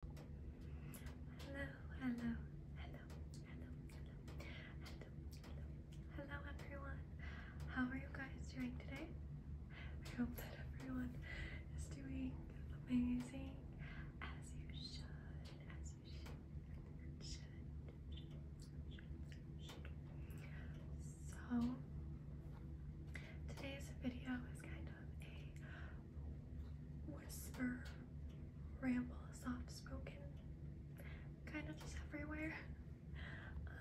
Hello, hello, hello, hello, hello, hello, hello, everyone. How are you guys doing today? I hope that everyone is doing amazing as you should, as you should, should, should, should. So, today's video is kind of a whisper, ramble, soft spoken, kind of just everywhere.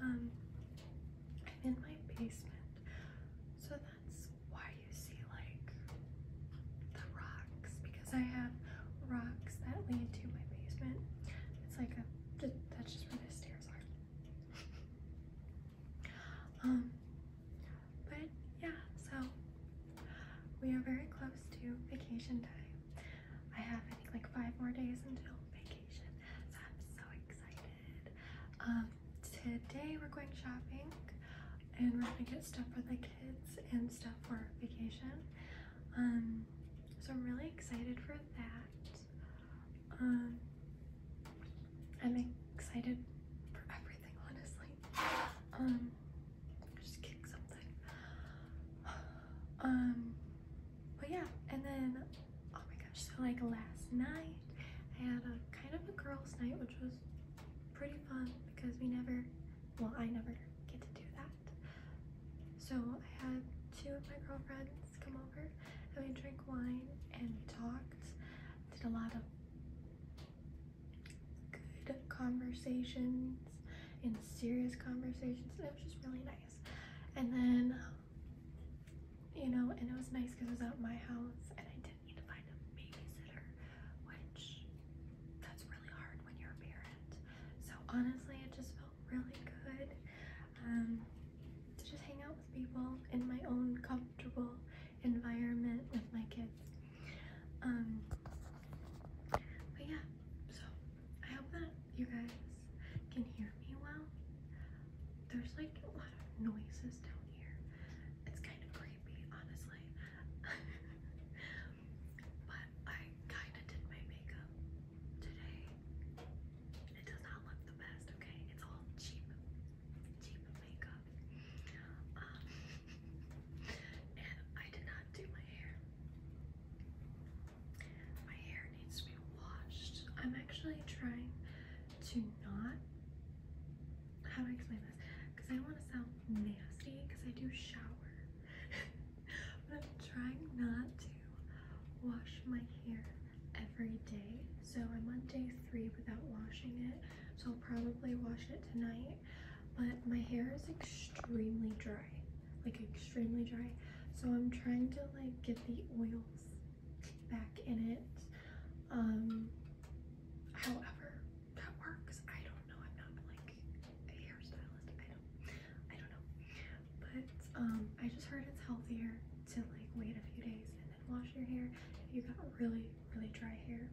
Um, I'm in my basement, so that's why you see like the rocks because I have rocks that lead to my basement. It's like a that's just where the stairs are. Um, but yeah, so we are very close to vacation time. I have I think like five more days until vacation, so I'm so excited. Um, today we're going shopping and we're gonna get stuff for the kids and stuff for vacation. Um, so I'm really excited for that. Um, I'm excited for everything honestly. Um, just kick something. Um, but yeah, and then, oh my gosh, so like last night, I had a kind of a girls' night, which was pretty fun because we never, well, I never get to do that. So I had two of my girlfriends come over and we drank wine and talked, did a lot of good conversations and serious conversations. And it was just really nice. And then, you know, and it was nice because it was at my house and I didn't need to find a babysitter, which that's really hard when you're a parent. So honestly, it just felt really good um, to just hang out with people in my own comfortable environment with my kids. Um, but yeah, so I hope that you guys can hear me well. There's like a lot of noises down here. It's kind of creepy, honestly. but I kind of did my makeup today. It does not look the best, okay? It's all cheap, cheap makeup. Um, and I did not do my hair. My hair needs to be washed. I'm actually trying to not. How do I explain this? Because I don't want to sound nasty because I do shower. but I'm trying not to wash my hair every day. So I'm on day three without washing it so I'll probably wash it tonight. But my hair is extremely dry, like extremely dry. So I'm trying to like get the oils back in it. Um, however, that works. I don't know. I'm not like a hairstylist. I don't. I don't know. But um, I just heard it's healthier to like wait a few days wash your hair you got really, really dry hair.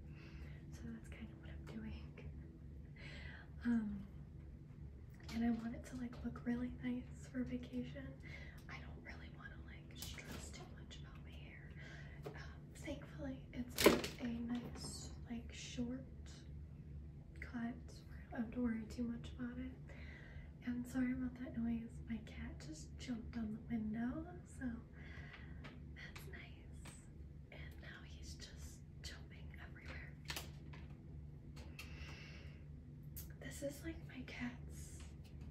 So that's kind of what I'm doing. Um, and I want it to like look really nice for vacation. I don't really want to like stress too much about my hair. Um, thankfully, it's a nice like short cut I don't have to worry too much about it. And sorry about that noise. My cat just jumped on the window, so that's nice. And now he's just jumping everywhere. This is like my cat's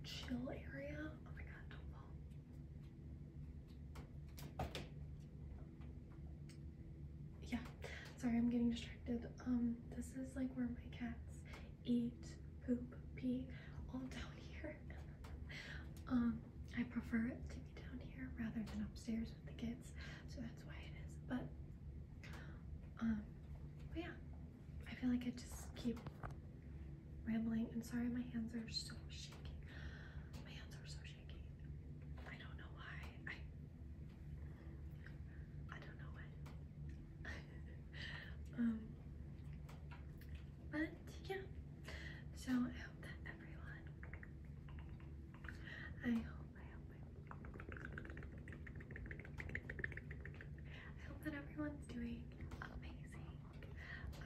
chill area. Oh my god, don't fall. Yeah, sorry, I'm getting distracted. Um, this is like where my cats eat, poop, pee, all down here. um, I prefer it to be down here rather than upstairs with the kids, so that's why it is. But, um, yeah, I feel like I just keep rambling. I'm sorry, my hands are so shaky. My hands are so shaky. I don't know why. I I don't know why. um, but yeah. So I hope that everyone I hope I hope I hope that everyone's doing amazing.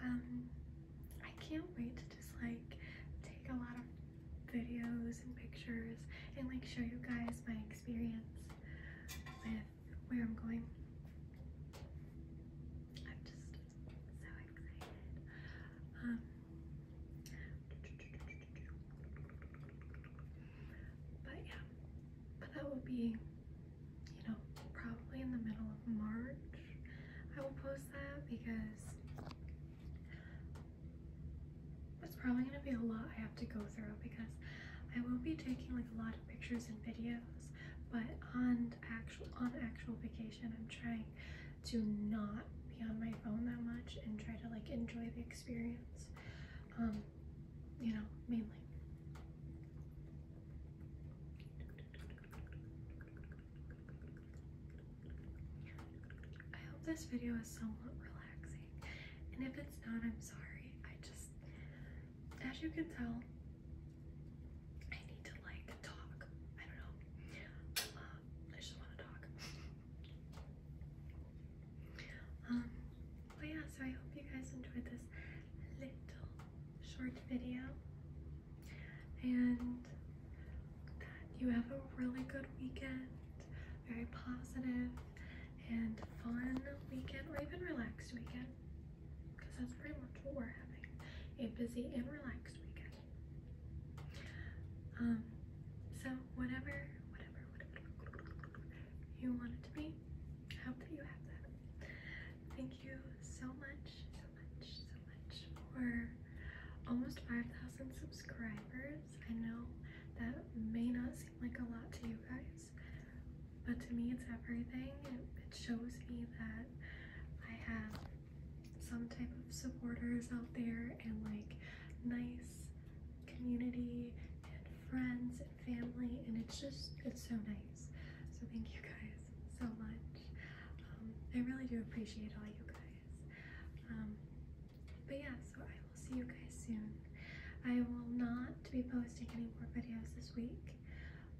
Um I can't wait to just like take a lot of videos and pictures and like show you guys my experience with where I'm going I'm just so excited. Um, but yeah, but that will be, you know, probably in the middle of March. I will post that because it's probably gonna be a lot I have to go through because I will be taking like a lot pictures and videos, but on actual on actual vacation, I'm trying to not be on my phone that much and try to like enjoy the experience. Um, you know, mainly. I hope this video is somewhat relaxing, and if it's not, I'm sorry. I just, as you can tell, I need to like talk. I don't know. Uh, I just want to talk. Um, but yeah, so I hope you guys enjoyed this little short video and you have a really good weekend, very positive and fun weekend or even relaxed weekend because that's pretty much what we're having a busy and relaxed weekend. Um, so whatever, whatever, whatever you want it to be, I hope that you have that. Thank you so much, so much, so much for almost 5,000 subscribers. I know that may not seem like a lot to you guys, but to me it's everything. It, shows me that I have some type of supporters out there and like nice community and friends and family and it's just, it's so nice. So thank you guys so much. Um, I really do appreciate all you guys. Um, but yeah, so I will see you guys soon. I will not be posting any more videos this week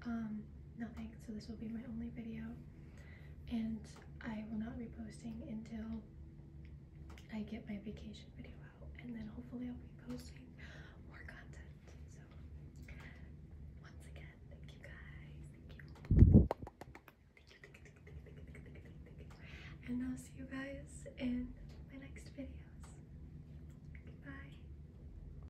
um, nothing. So this will be my only video, and I will not be posting until I get my vacation video out, and then hopefully I'll be posting more content. So once again, thank you guys, thank you, and I'll see you guys in my next videos. Goodbye.